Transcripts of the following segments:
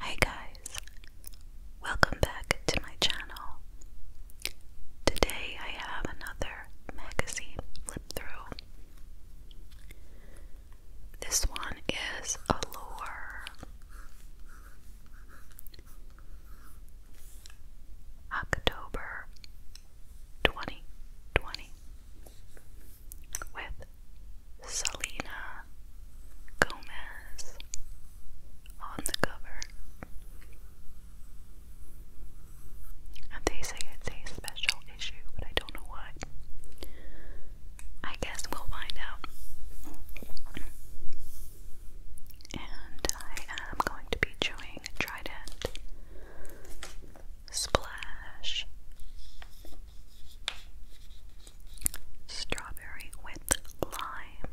Hey guys, welcome back to my channel. Today I have another magazine flip through. This one is Allure. October 2020 with Selena Gomez on the cover. And they say it's a special issue, but I don't know what. I guess we'll find out. And I am going to be chewing Trident Splash Strawberry with lime.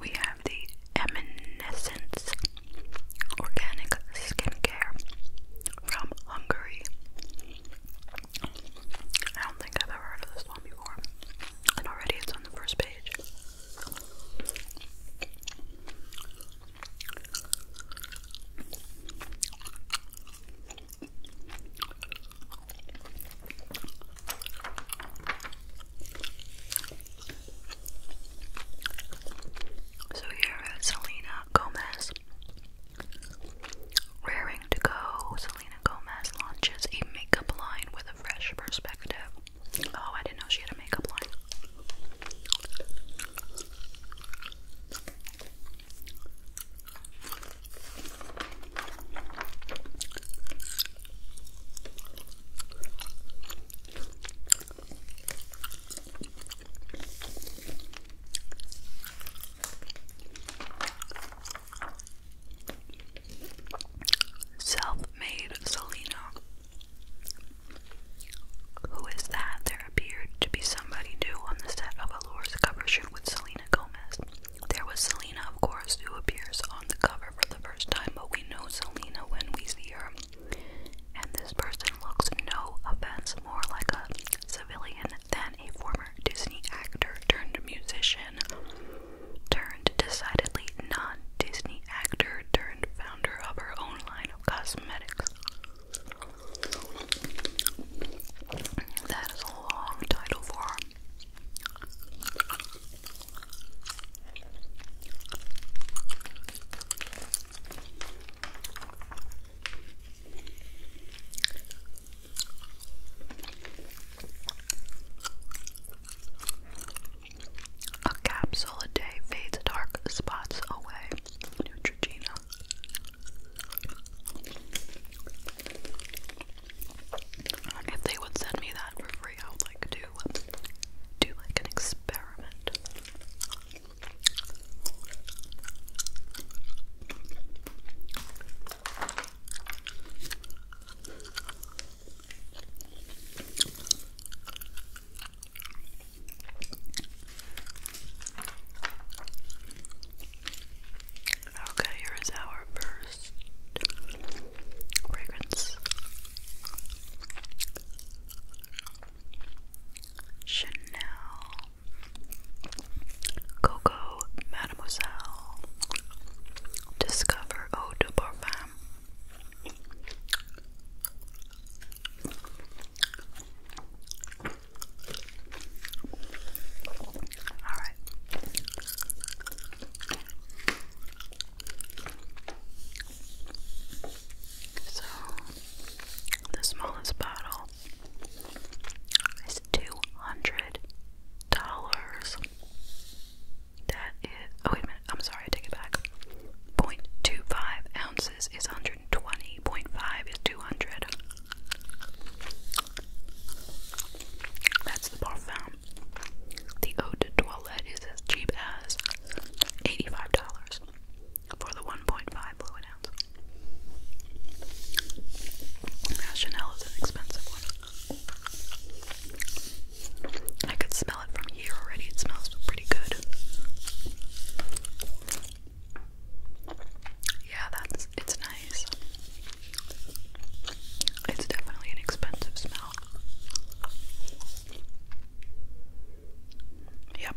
We have the Emanescence Organic Skincare from Hungary. I don't think I've ever heard of this one before, and already it's on the first page. So here is Selena Gomez. Raring to go, Selena Gomez launches a makeup line with a fresh perspective. Oh, I didn't know she had a makeup line. Self made Selena. Who is that? There appeared to be somebody new on the set of Allure's cover shoot with Selena Gomez. There was Selena, of course, who appears on the cover for the first time, but we know Selena when we see her. And this person looks, no offense, more like a civilian than a former Disney actor turned musician turned decidedly non Disney actor turned founder of her own line of cosmetics. That is a long title for a capsule a day fades dark spots away. Neutrogena. If they would send me that for free, I would like to do like an experiment. Okay, here is our first fragrance. Chanel Coco Mademoiselle Discover Eau de Parfum all right. So the smallest bottle is two hundred dollars. That is. Oh, wait a minute. I'm sorry, I take it back. 0.25 ounces is 120, is 200. That's the parfum. The eau de toilette is as cheap as $85 for the 1.5 fluid ounce. Chanel is an expensive one. I could smell it from here already. It smells pretty good. Yeah, that's it's nice. It's definitely an expensive smell. Yep.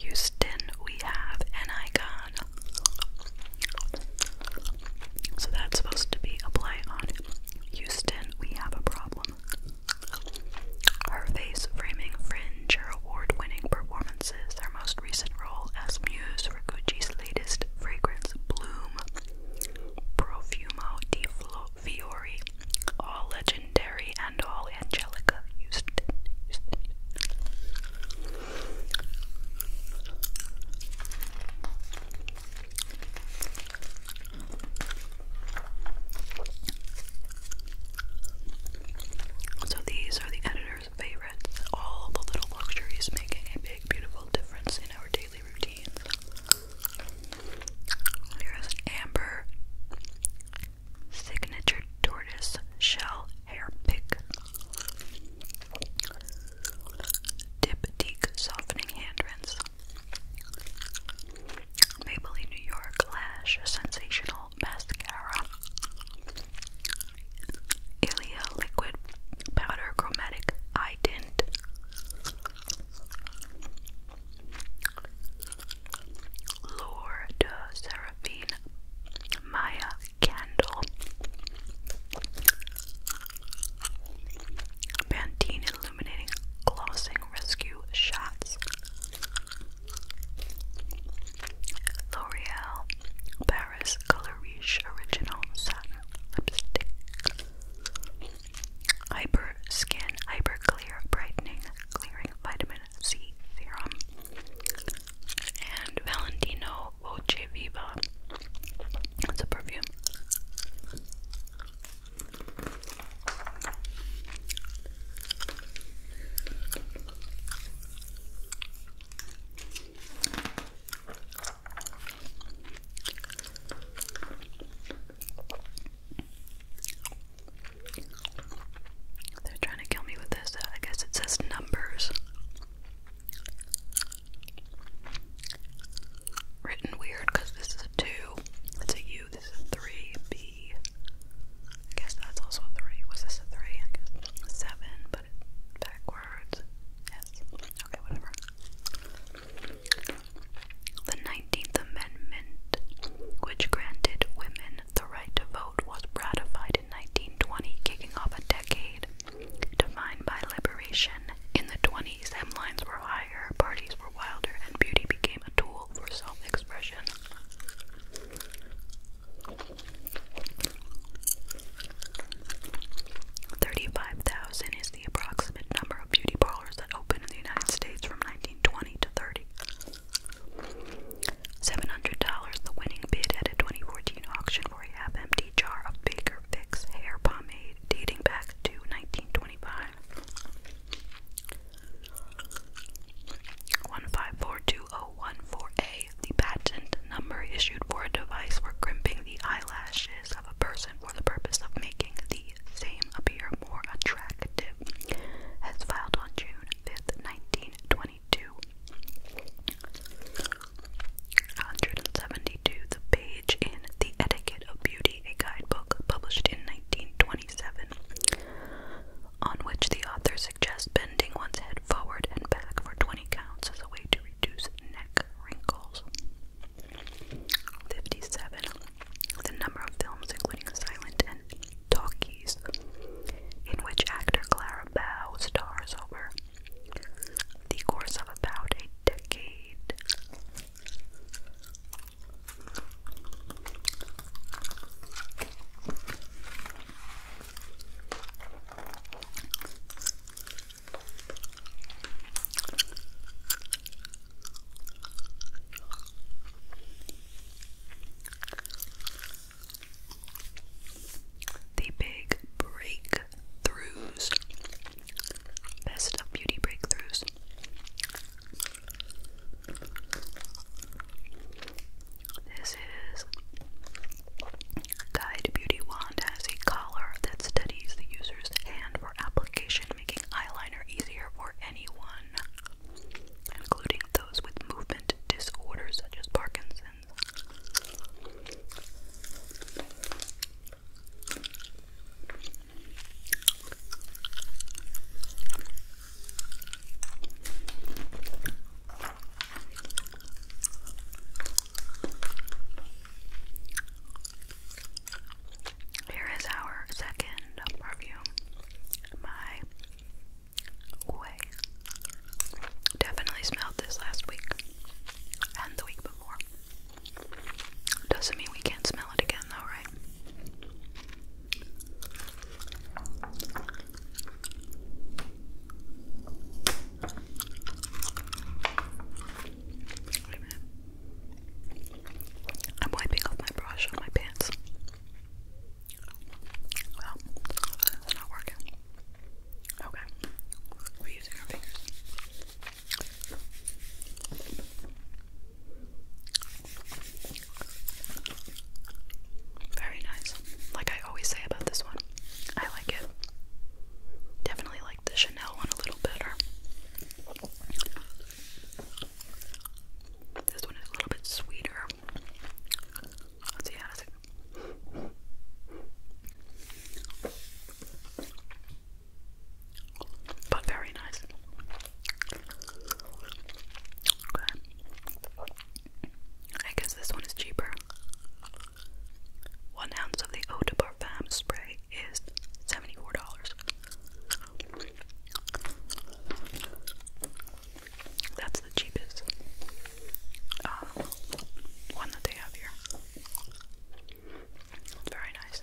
Houston, we have an icon. So that's supposed to be a play on Houston, we have a problem. Her face framing fringe, her award winning performance is their most recent role as muse for Gucci's latest fragrance, Bloom Profumo di Fiori, all legendary and all Angelica so these are the editor's favorites. All the little luxuries making a big, beautiful difference in our daily routines. There's an amber signature tortoise shell hair pick. Dip Diptyque softening hand rinse. Maybelline New York Lash Sensational mascara. Ilia liquid powder chromatic eye tint. Seraphine Maya Candle Pantene Illuminating Glossing Rescue Shots L'Oreal Paris Color Riche Original Satin Lipstick. Hyper Skin Hyper Clear Brightening Clearing Vitamin C Serum. And Valentino Voce Viva. That's a perfume. They're trying to kill me with this. I guess it says numbers. Written weird because this is a 2, it's a U, this is 3, B, I guess that's also a three. Was this a three? seven, but backwards. Yes. Okay, whatever. The Nineteenth Amendment, which granted women the right to vote, was ratified in 1920, kicking off a decade defined by liberation. In the 20s, hemlines were higher, parties were wilder, and beauty became a tool for self expression. 35,000 is the approximate number of beauty parlors that opened in the United States from 1920 to 30. $700 the winning bid at a 2014 auction for a half empty jar of Baker Fix hair pomade dating back to 1925. 1542014A, the patent number issued for a device for crimping the eyelashes of a person for the purpose of making the same appear more attractive, as filed on June 5th, 1922. 172. The Page in The Etiquette of Beauty, a guidebook published in 1927, on which the authors suggests bending one's head forward and back for 20 counts as a way to reduce neck wrinkles. 57. The number of films, including silent and talkies, in which actor Clara Bow stars over the course of about a decade. The big breakthroughs, best of beauty breakthroughs. This is Guide Beauty Wand has a collar that studies the user's hand for application, making eyeliner easier for anyone, including those with movement disorders such as Parkinson's. Here is our second perfume, my way. Definitely smelled this last week and the week before. Doesn't mean we can't smell it again, though, right? I'm wiping off my brush on my pants. Well, it's not working. Okay. We're using our fingers. Very nice. Like I always say about this one, I like it. Definitely like the Chanel one a little better. This one is a little bit sweeter. Let's see how does But very nice. I guess this one is cheaper. One ounce of the Eau de spray is seventy-four dollars. That's the cheapest uh, one that they have here. very nice.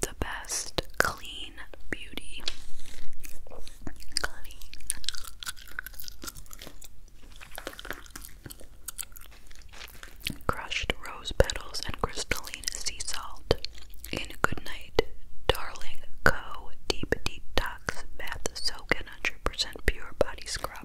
the best clean beauty. Crushed rose petals and crystalline sea salt in Goodnight Darling Co. Deep Detox Bath Soak and 100% Pure Body Scrub.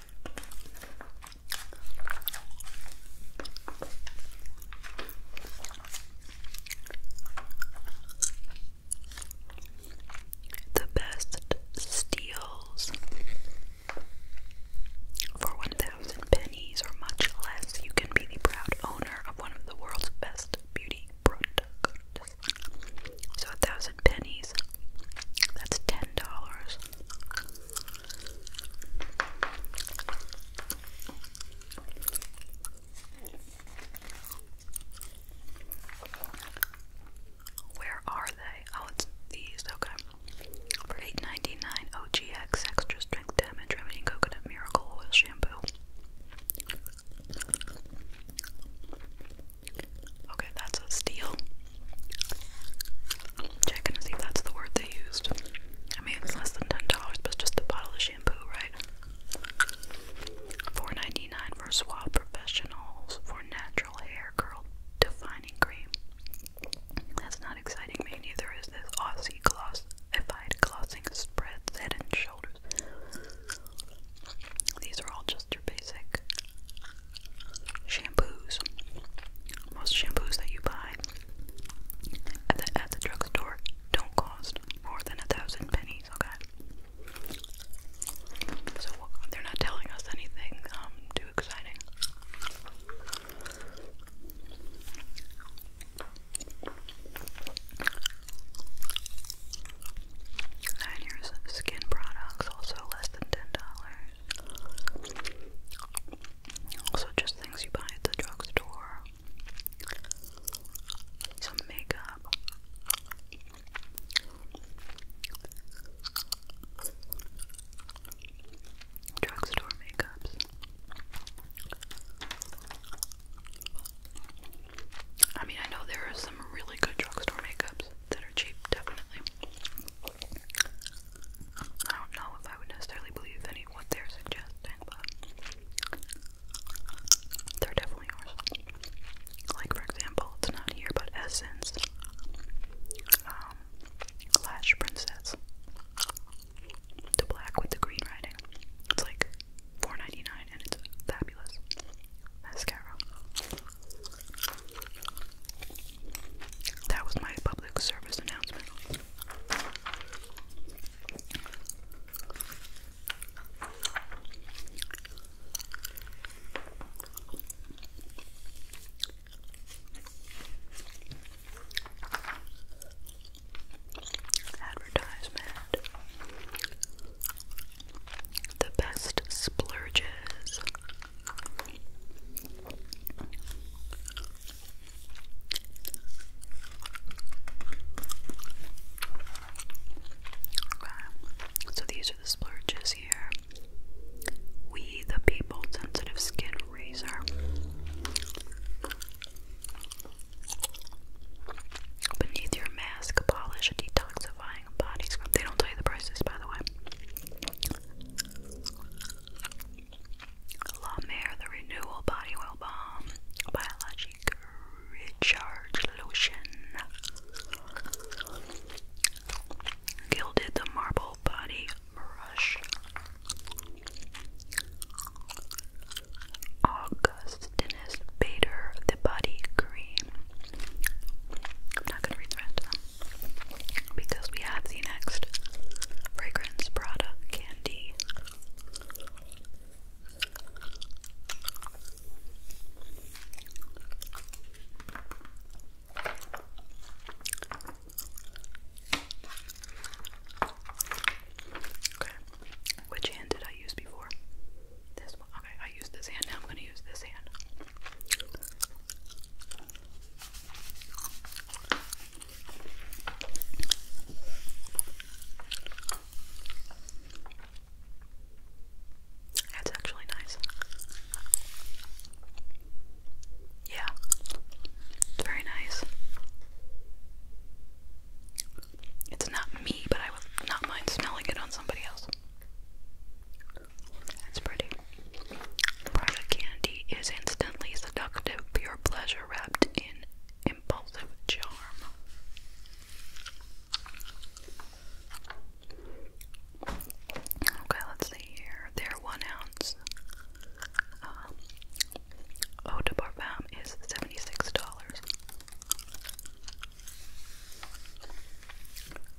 The best steals for 1,000 pennies or much less, you can be the proud owner of one of the world's best beauty products. So, 1000 pennies. That's ten dollars. Where are they? Oh, it's these. Okay. For eight ninety nine, OGX extra strength damage remedy coconut miracle oil shampoo. Okay, that's a steal. Checking to see if that's the word they used. I mean, it's less than ten dollars, but it's just a bottle of shampoo, right? Four ninety nine for Suave Professionals for natural hair curl defining cream. That's not exciting me. Neither is this Aussie glossified glossing spreads head and shoulders. These are all just your basic shampoos. Most shampoos that you buy at the, at the drugstore don't cost more than a thousand pennies, okay? So they're not telling us anything um, too exciting. And here's skin products, also less than ten dollars. Also, just things you buy at the drugstore. Some makeup. Drugstore makeups. I mean, I know there are some really good drugstore makeups that are cheap, definitely. I don't know if I would necessarily believe any what they're suggesting, but there definitely are Like for example, it's not here, but Essence, um, Lash Princess, the black with the green writing. It's like 4 and it's fabulous mascara. That was my public service announcement. Advertisement. The best splurges. So these are the splurges here. We the people sensitive skin razor. Beneath your mask, polish detoxifying body scrub. They don't tell you the prices, by the way. La The Renewal Body Oil Balm Biologic Recharge Lotion Gilded The Marble Body Brush Augustinus Bader The Body Cream I'm not going to read the rest of them because we have the next fragrance product candy. Okay, which hand did I use before? This one. Okay, I used this hand, now I'm gonna use this hand. That's actually nice. Yeah, it's very nice. It's not me, but I would not mind smelling it on somebody else. That's pretty. Private candy is instantly seductive, pure pleasure wrapped in impulsive charm. Okay, let's see here. Their one ounce um, is $76.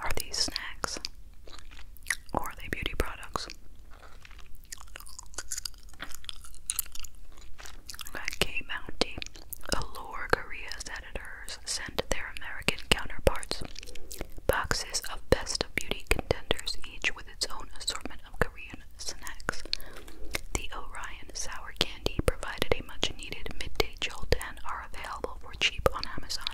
Are these snacks or are they beauty products? Got K Bounty. Allure Korea's editors sent their American counterparts boxes of best beauty contenders, each with its own assortment. Korean snacks. The Orion sour candy provided a much needed midday jolt and are available for cheap on Amazon.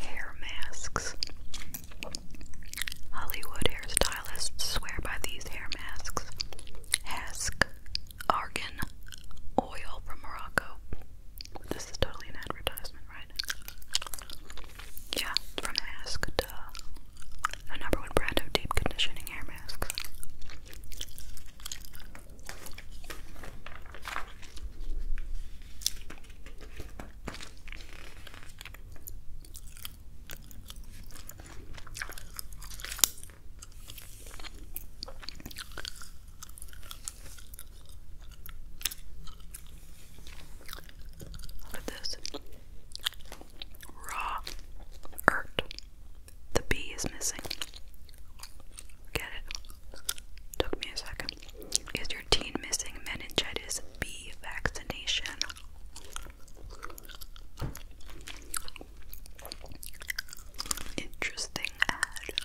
Hair masks. Hollywood hairstylists swear by these hair masks. Hask, argan, oil from Morocco. This is totally an advertisement, right? Yeah, from Hask, a number one brand of deep conditioning hair masks. Look at this raw ert. The B is missing. Get it? Took me a second. Is your teen missing meningitis B vaccination? Interesting ad.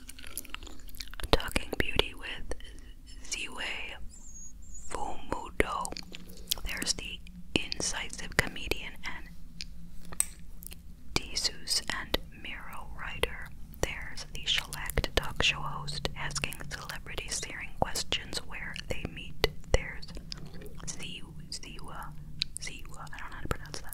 Talking Beauty with Ziwei Fumudo. There's the incisive comedian and Desus and Miro writer. There's the shellacked talk show host asking celebrities searing questions where they meet. There's Ziwa, Ziwa, I don't know how to pronounce that.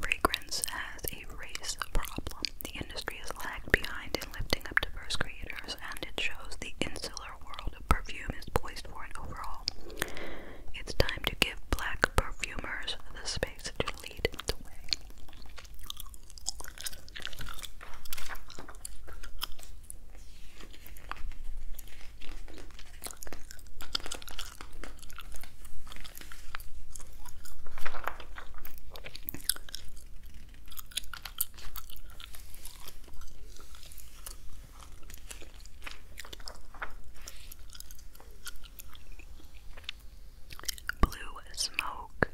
Fragrance has a race problem. The industry is lagged behind in lifting up diverse creators, and it shows the insular world of perfume is poised for an overhaul. It's time to give black perfumers the space to lead the way. Blue Smoke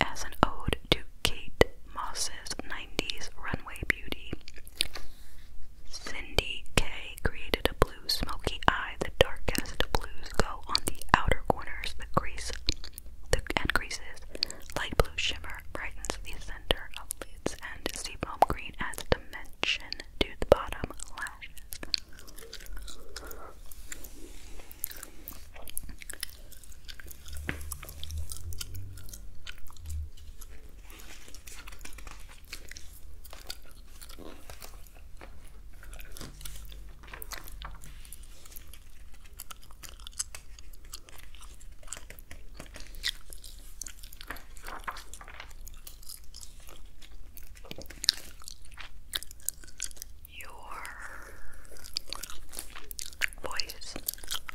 as an ode to Kate Moss's 90s runway beauty. Cindy K created a blue smoky eye. The darkest blues go on the outer corners. The crease the, and creases. Light blue shimmer brightens the center of lids, and seafoam green adds dimension to the bottom lashes. Your voice counts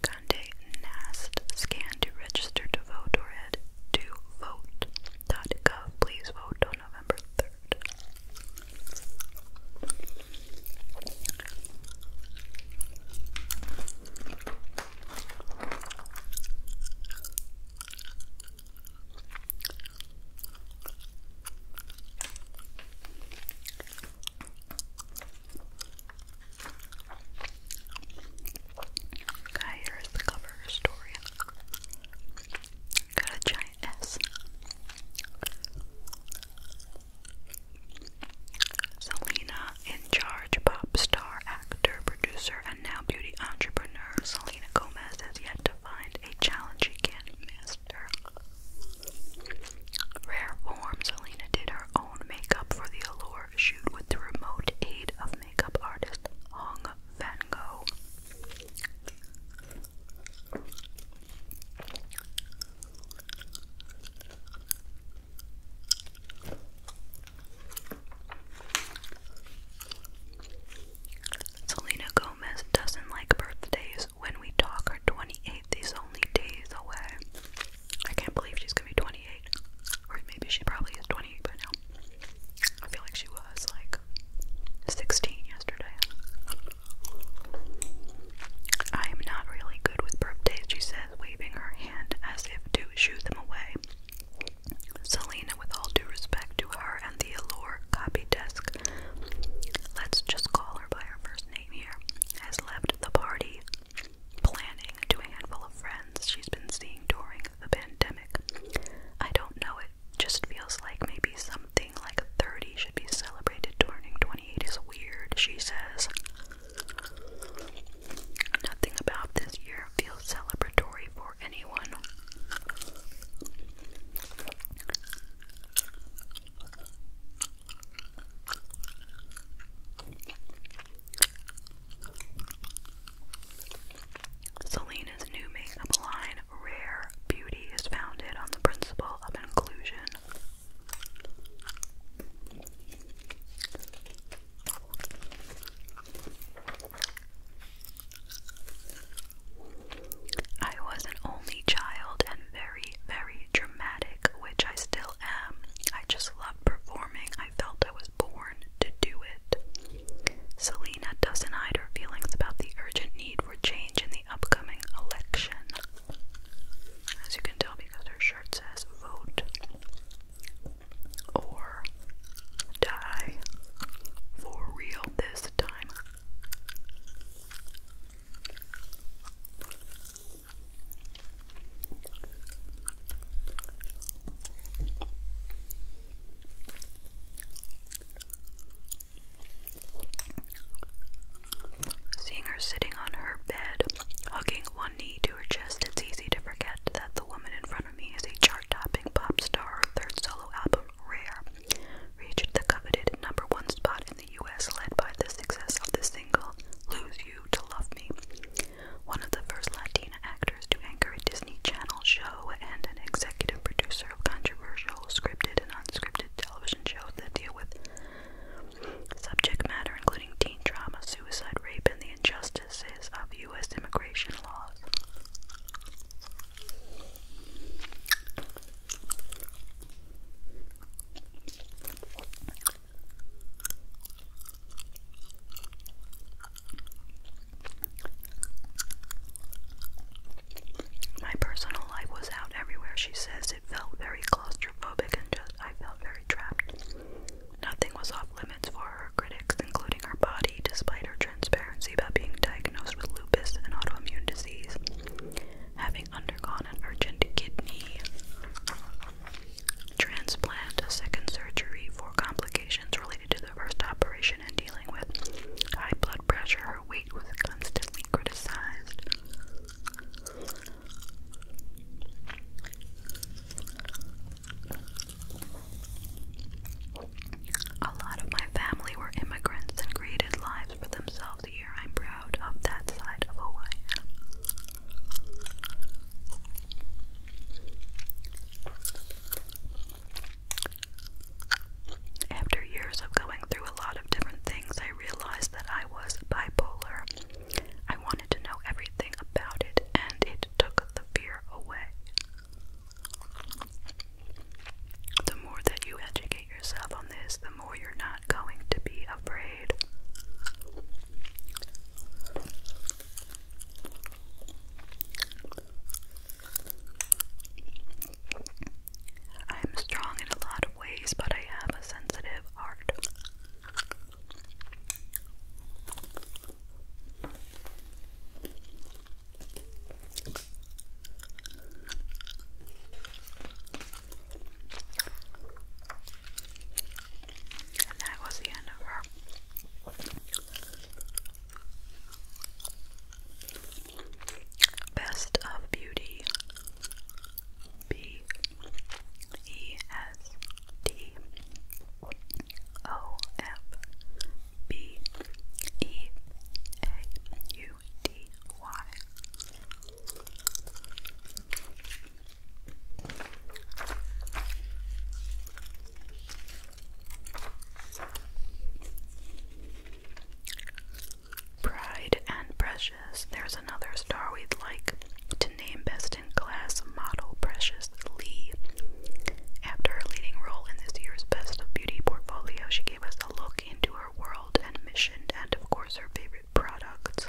Conde Nast scanned to register to vote or head to vote.gov. Please vote on November 3rd. Okay, here's the cover story. Got a giant S. Selena, in charge pop star, actor, producer, and now beauty entrepreneur, Selena Gomez has yet to find a challenge she can't master. Rare form, Selena did her own makeup for the Allure shoot with the remote aid of makeup artist Hong Van Gogh. Selena Gomez doesn't like birthdays. When we talk, her 28th is only days away. I can't believe she's gonna be 28. Or maybe she probably is 28 by now. I feel like she was like 16 yesterday. I am not really good with birthdays, she says, waving her hand as if to shoo them away. Selena, with all due respect to her and the Allure copy desk, let's just call her by her first name here, has left the party planning to a handful of friends she's been seeing during the pandemic. I don't know, it just feels like maybe something like 30 should be celebrated. Turning 28 is weird, she says. Nothing about this year feels celebratory for anyone. Selena's new makeup line, Rare Beauty, is founded on the principle of inclusion. I was an only child and very, very dramatic, which I still am. I just love performing. I felt I was born to do it. Selena doesn't hide her feelings about the urgent need for change in the upcoming election. As you can tell, because her shirt says vote or die for real this time. Seeing her sitting on her bed, hugging one knee to her chest, it's easy to forget that the woman in front of me is a chart topping pop star. Her third solo album, Rare, reached the coveted number one spot the US led by the success of the single Lose You to Love Me. One of the first Latina actors to anchor a Disney Channel show and an executive producer of controversial scripted and unscripted television shows that deal with subject matter including teen trauma, suicide, rape, and the injustices of US immigration laws. My personal life was out everywhere, she says. It felt very claustrophobic and just I felt very trapped. Nothing was off limits for her critics, including her body, despite her transparency about being diagnosed with lupus, an autoimmune disease. Having having undergone an urgent kidney transplant, a second surgery for complications related to the first operation and dealing with high blood pressure. Her weight was constantly criticized. A lot of my family were immigrants and created lives for themselves year. I'm proud of that side of who I am. After years of going through a lot of different things, I realized that I was bipolar. I wanted to know everything about it, and it took the fear away. The more that you educate yourself on this, the you're not going to be afraid. I am strong in a lot of ways, but I have a sensitive heart. And that was the end of her. Best of Beauty. B E S T O F B E A U D Y. Pride and Precious. There's another star we'd like to name best in class model Precious Lee. After her leading role in this year's Best of Beauty portfolio, she gave us a look into her world and mission and, of course, her favorite products.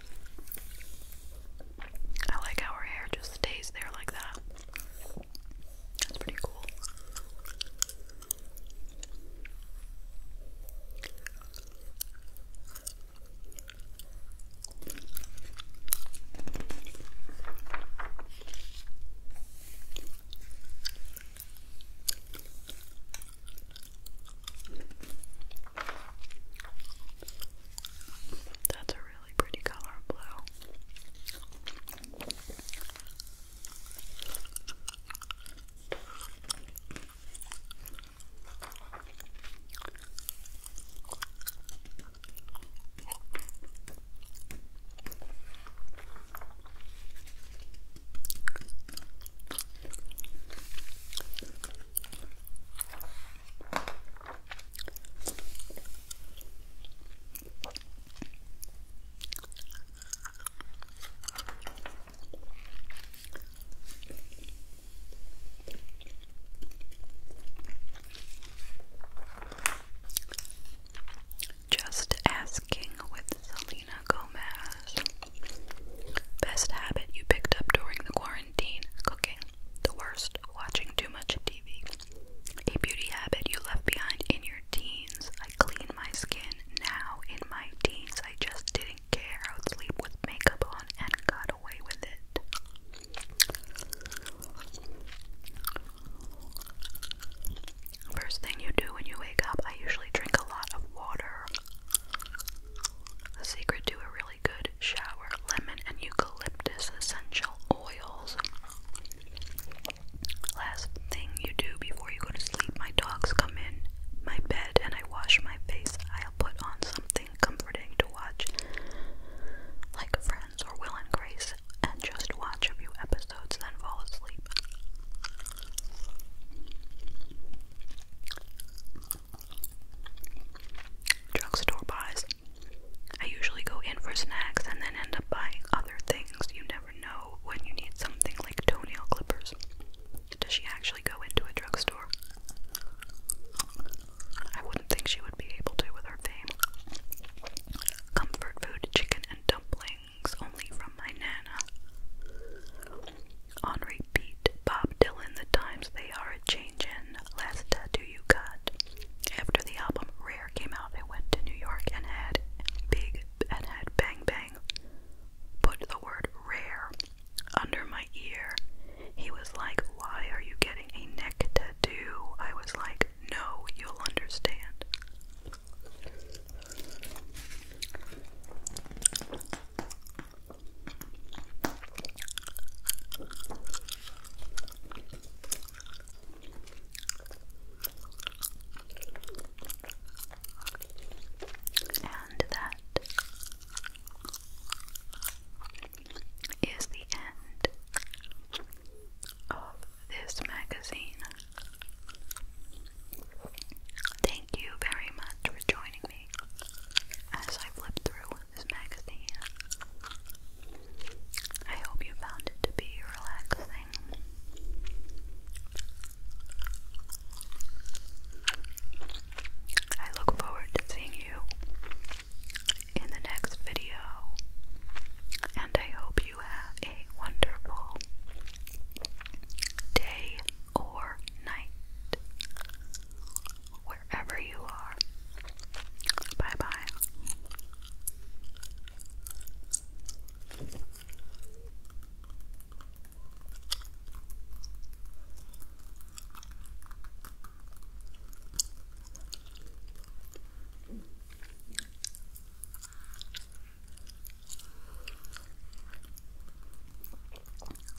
I like how her hair just stays there like that. That's pretty cool. That's a really pretty color, blue. Just asking with Selena Gomez. Best habit you picked up during the quarantine quarantine, cooking. The worst, watching too much TV. A beauty habit you left behind in your teens. I clean my skin now. In my teens, I just didn't care. I would sleep with makeup on and got away with it. First thing you do when you wake up, I usually drink a lot of water. The secret to a really good shower lemon and eucalyptus essential oils. Last thing you do before you go to sleep, my dogs come in my bed and I wash my face. I'll put on something comforting to watch, like Friends or Will and Grace, and just watch a few episodes, then fall asleep. Drugstore buys. I usually go in for snacks and then end up buying other things. You never know when you need something like toenail clippers. Does she actually go into a drugstore? I wouldn't think she would be able to with her fame. Comfort food, chicken and dumplings, only from my nana. On repeat, Bob Dylan, The Times They Are a Changin', Last Tattoo You Got. After the album Rare came out, I went to New York and had big and had Bang Bang put the word rare under my ear. He was like, Why are you getting a neck tattoo? I was like, No, you'll understand. And that is the end of this magazine. Thank Thank you very much for joining me as I flip through this magazine. I hope you found it to be relaxing. I look forward to seeing you in the next video, and I hope you have a wonderful day or night wherever you are. Bye bye.